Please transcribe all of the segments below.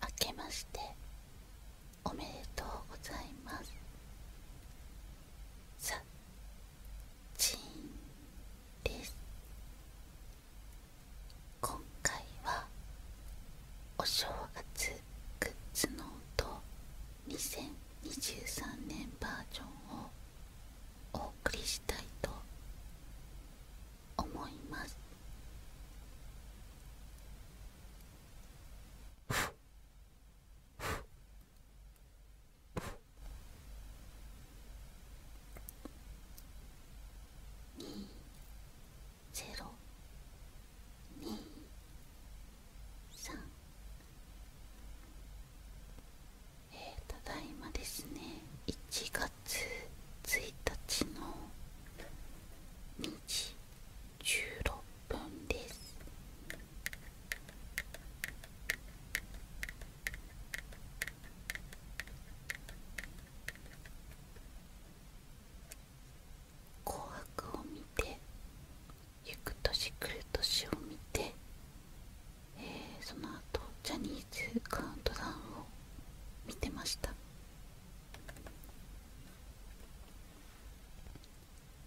あけましておめでとうございますさちんです今回はお正月グッズノート2023年バージョンをお送りしたいと思います二ゼロ二三えただいまですね1月1日の2時16分です「紅白」を見て「ゆく年来る年」を見て、えー、その後ジャニーズカウントダウンを見てました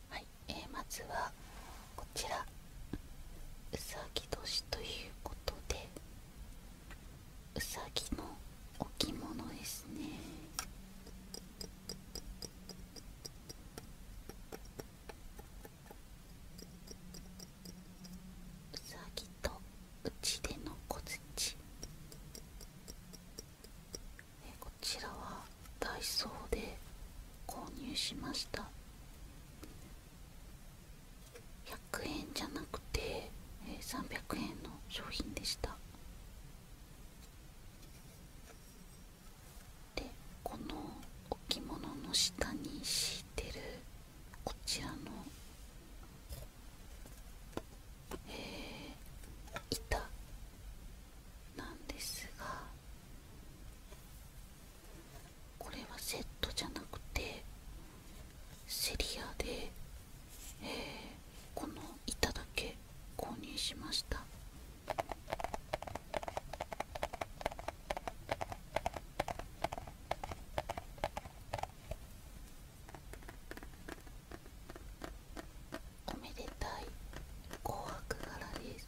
はい、えー、まずはこちらうさぎ年ということでうさぎの置物ですねうさぎとうちでの小槌こちらはダイソーで購入しました100円じゃなくて300円の商品でしたでこの置物の下に敷いてるこちらの、え板なんですがこれはセットじゃなくてセリアでえこの板だけ購入しましたおめでたい紅白柄です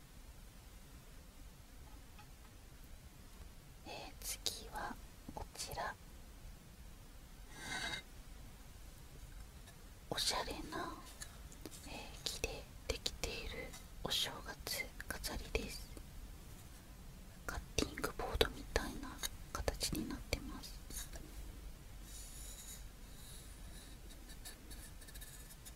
え次はこちらおしゃれな、え木でできているお正月飾りですカッティングボードみたいな形になってます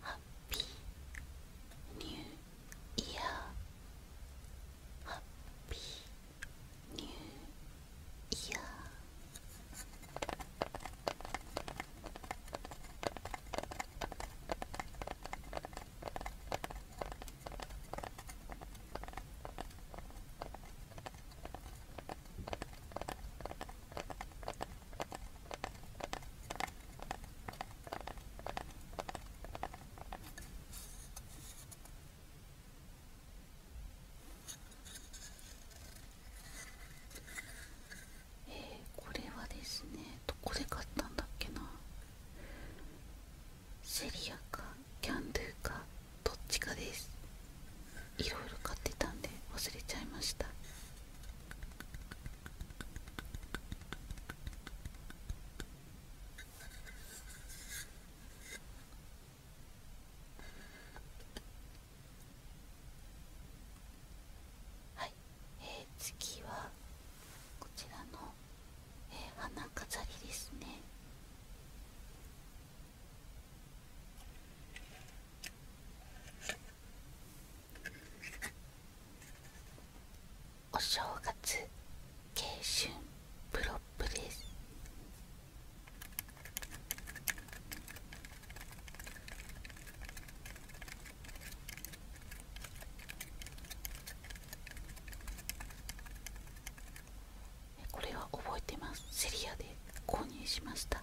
Happy New Year. Happy New Year. えこれはですねどこで買ったんだっけなセリアかキャンドゥかどっちかですいろいろ買ってたんで忘れちゃいましたはい、え次はこちらの、えー、花飾りですねお正月慶春プロップですこれは覚えてますセリアで購入しました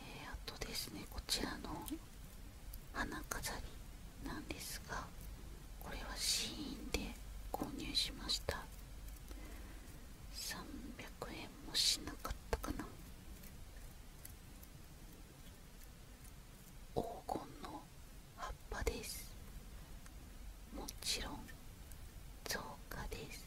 えー、あとですねこちらの花飾りなんですがこれはシーンで購入しました300円もしなかったかな黄金の葉っぱですもちろん造花です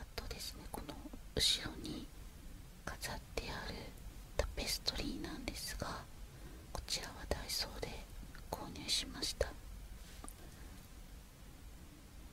あとですねこの後ろに飾ってあるタペストリーなんですがこちらはダイソーで購入しました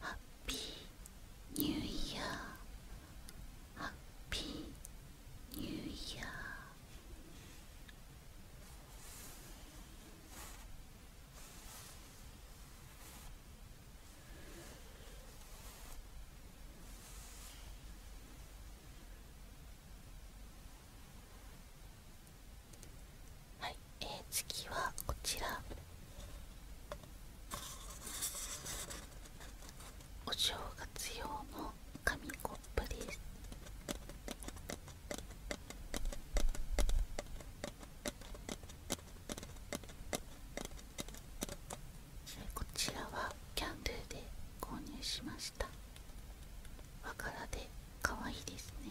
ハッピーニューイヤーハッピーニューイヤーはい、え次はこちら。お正月用の紙コップですこちらはキャンドゥで購入しましたわからで可愛いですね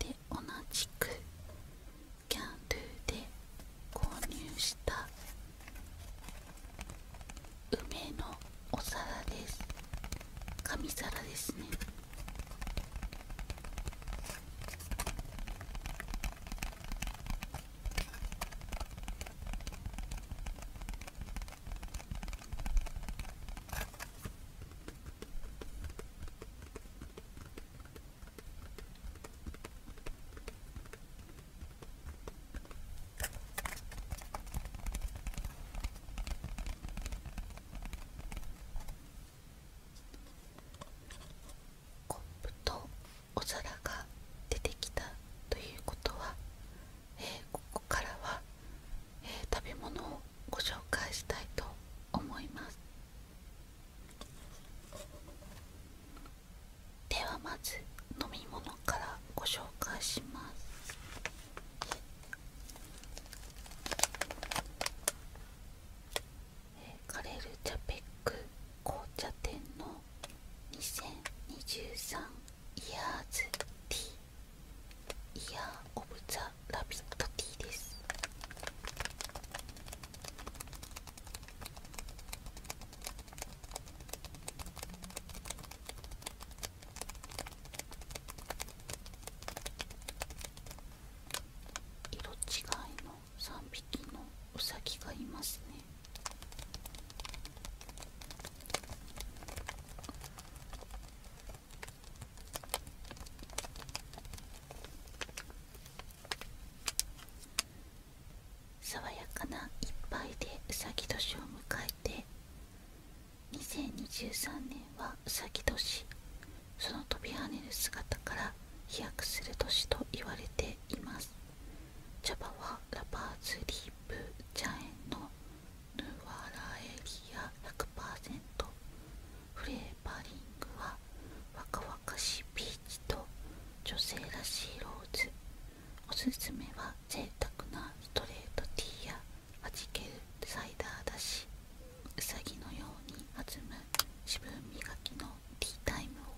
で同じくキャンドゥで購入した梅のお皿です紙皿ですねコップとお皿が出てきたということは、えー、ここからは、えー、食べ物をご紹介したいと思いますではまず飲み物からご紹介しますカレルチャペック紅茶店の2023イヤーティーイヤーオブザラビットティーです色違いの3匹のウサギがいますね爽やかないっぱいでうさぎ年を迎えて2023年はうさぎ年その飛び跳ねる姿から飛躍する年と言われています茶葉はラパーズリープ茶園のヌワラエビア100%フレーバリングは若々しいビーチと女性らしいローズおすすめは贅沢なストレートティーやはじけるサイダーだしうさぎのように弾む自分磨きのティータイムを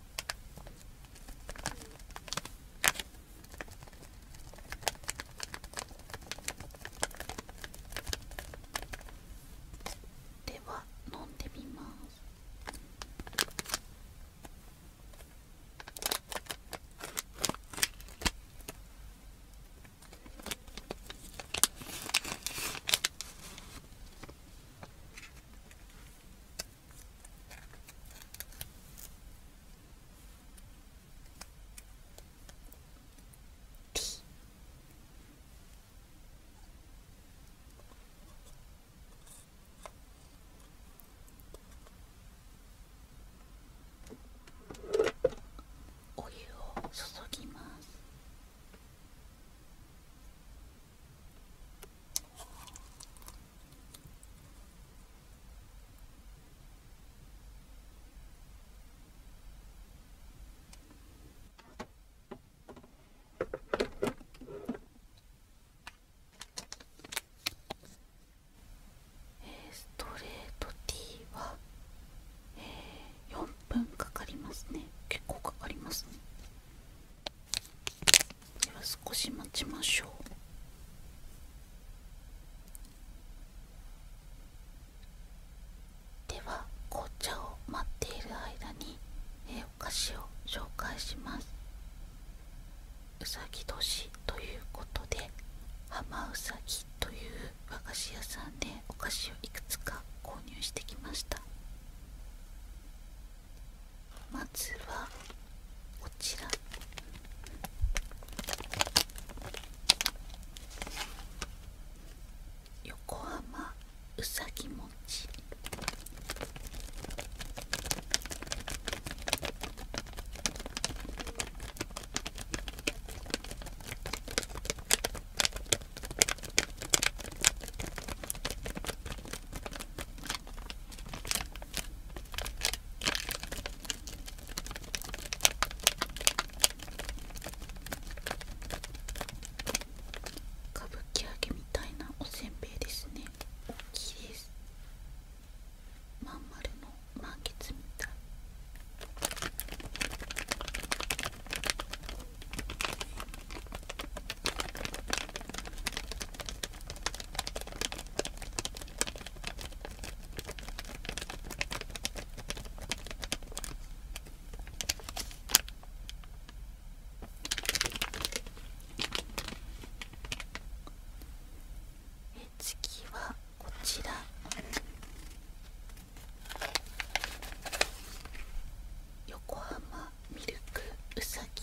では飲んでみますお湯を注ぎます」ストレートティーは、えー、4分かかりますね結構かかりますねでは少し待ちましょうでは紅茶を待っている間に、えお菓子を紹介しますうさぎ年ということでハマウサギという和菓子屋さんでお菓子をいくつか購入してきましたまずはこちら横浜うさぎ餅。歌舞伎揚げみたいなおせんべいですね大きいですまん丸の満月みたい次はこちら横浜ミルクうさぎ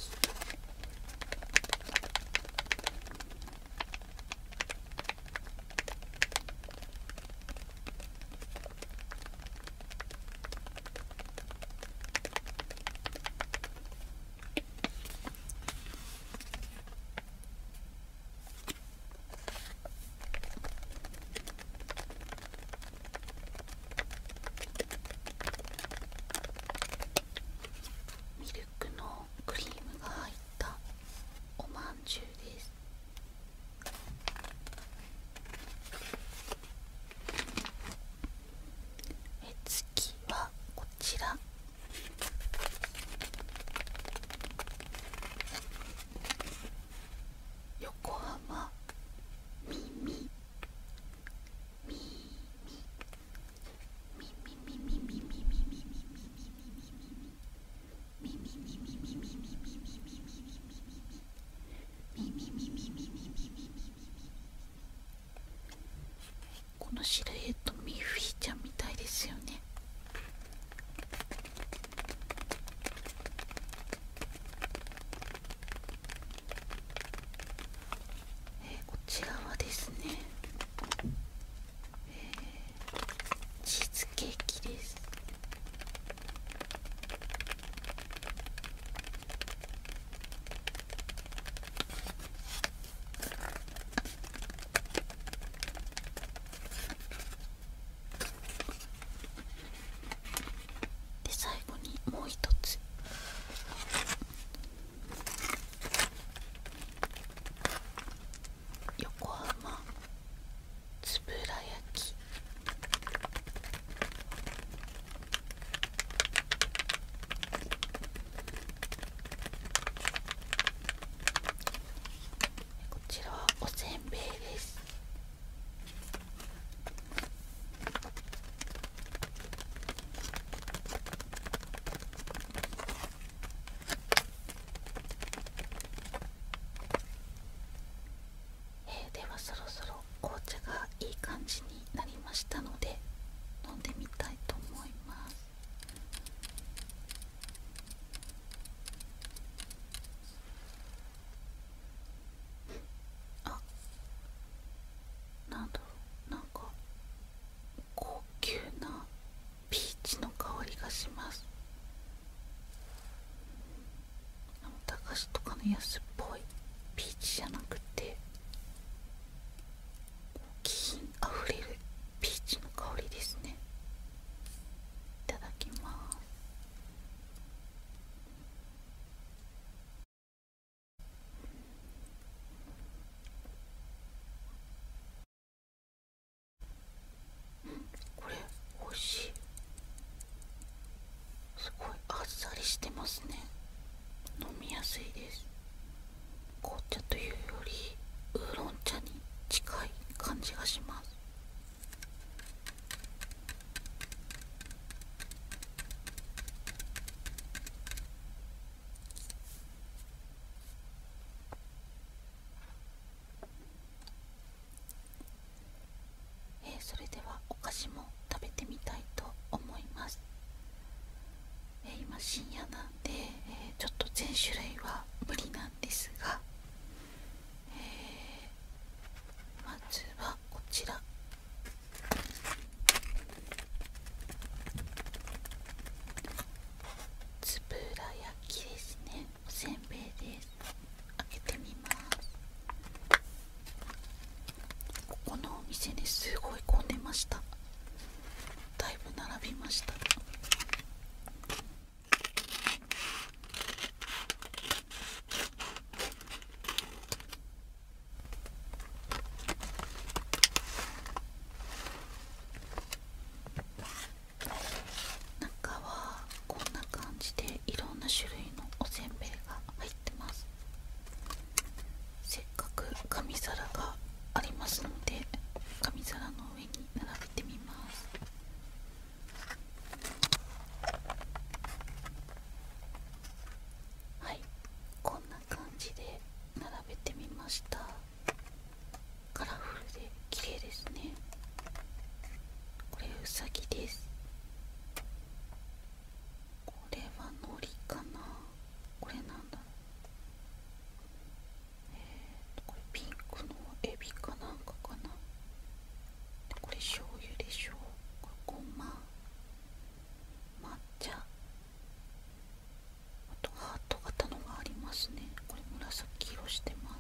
ミルクのクリームが入ったおまんですえ次はこちら横浜耳。耳。このシルエットミッフィーちゃんみたいですよねえこちらはですねチーズケーキですで最後にもう一つ横浜つぶら焼きこちらはおせんべいですえー、ではそろそろ紅茶がいい感じになりましたので飲んでみたいと思いますあなんだろうなんか高なピーチの香りがします駄菓とかの安っぽいピーチじゃなくて気品あふれるピーチの香りですねいただきますこれおいしいすごいあっさりしてますね飲みやすいです紅茶というよりウーロン茶に近い感じがしますえそれではお菓子も食べてみたいと思います、え今深夜なんで、えちょっと全種類は無理なんですが、えまずはこちらつぶら焼きですねおせんべいです開けてみますここのお店にすごい混んでましただいぶ並びました中はこんな感じでいろんな種類のおせんべいが入ってますせっかく紙皿がありますので紙皿の上に並べてみますはいこんな感じで。感じで並べてみましたカラフルで綺麗ですねこれうさぎですこれは海苔かなこれなんだろうえこれピンクのエビかなんかかなこれ醤油でしょうれごま抹茶あとハート型のがありますねこれ紫色してま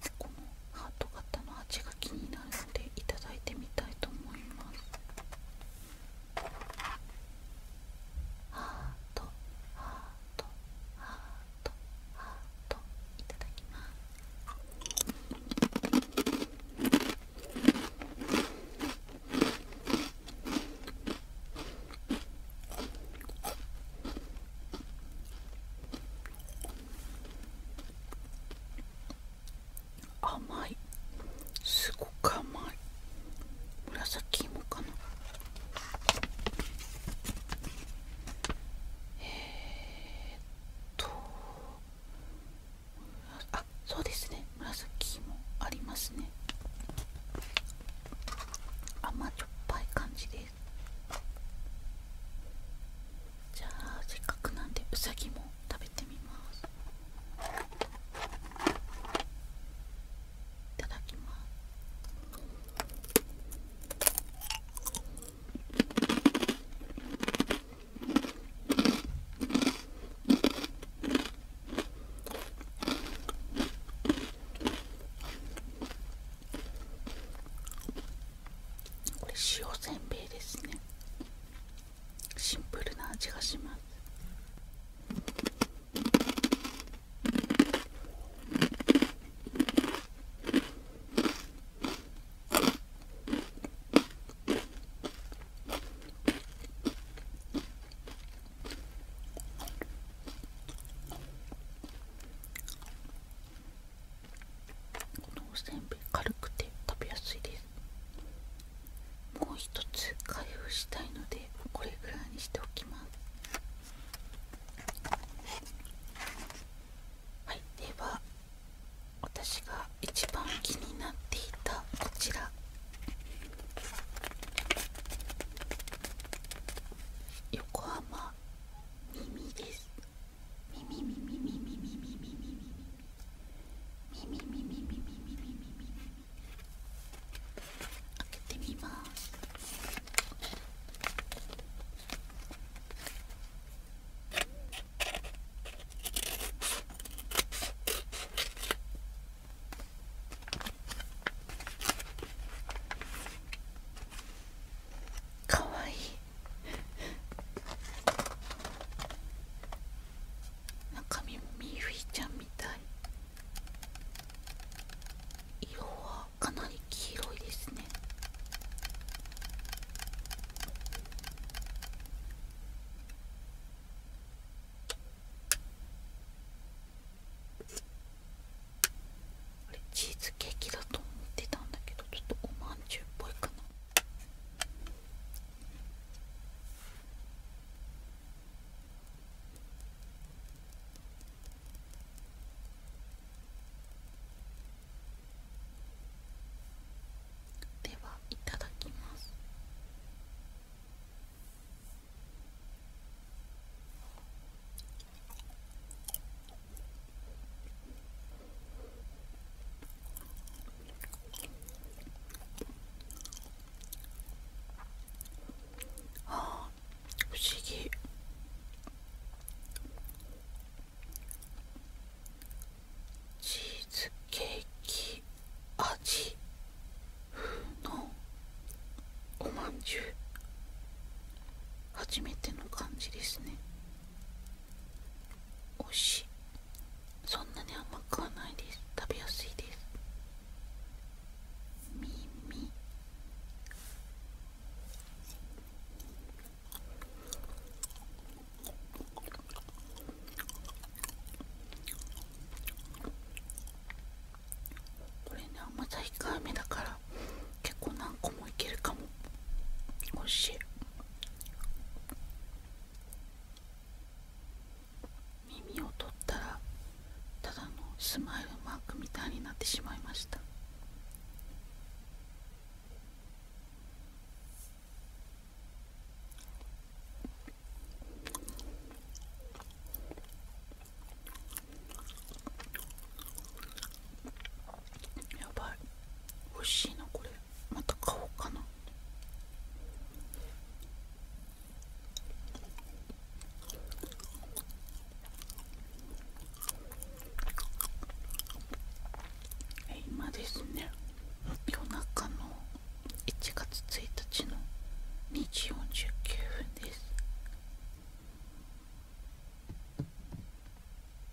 すこのハート型の味が気になるのでいただいてみたいと思いますハートハートハートハートいただきます甘いすごく甘い紫芋かなえー、っとあそうですね紫もありますね甘じょっぱい感じですじゃあせっかくなんでうさぎも食べてみますいただきますこれ塩せんべいですねシンプルな味がしますこのおせんべい軽くて食べやすいですもう一つ開封したいのでこれぐらいにしておきますはいでは私が一番気になっていたこちら横浜耳です耳耳耳耳耳耳耳耳耳耳耳耳耳。耳。開けてみますかわいい中身もミーフィーちゃんみたい色はかなり黄色いですねあれチーズケーキだと思ってたんだけどちょっとおまんじゅうっぽいかなではいただきますあ不思議チーズケーキ味のおまんじゅう初めての感じですねお味しいそんなに甘くはないです食べやすいです耳これね甘さ控えめだから結構何個もいけるかもおいしい耳を取ったらただのスマイルマークみたいになってしまいましたやばい欲しいなこれまた買おうかなえ、今ですね夜中の1月1日の2時49分です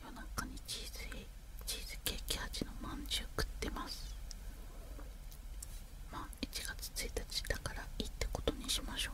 夜中にチーズケーキ味のまんじゅう食ってますまあ1月1日だからいいってことにしましょう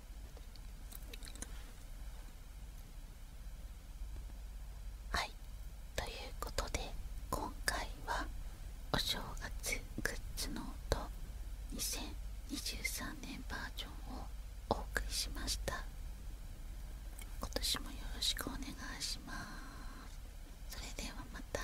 はいということで今回はお正月グッズノート2023年バージョンをお送りしました今年もよろしくお願いしますそれではまた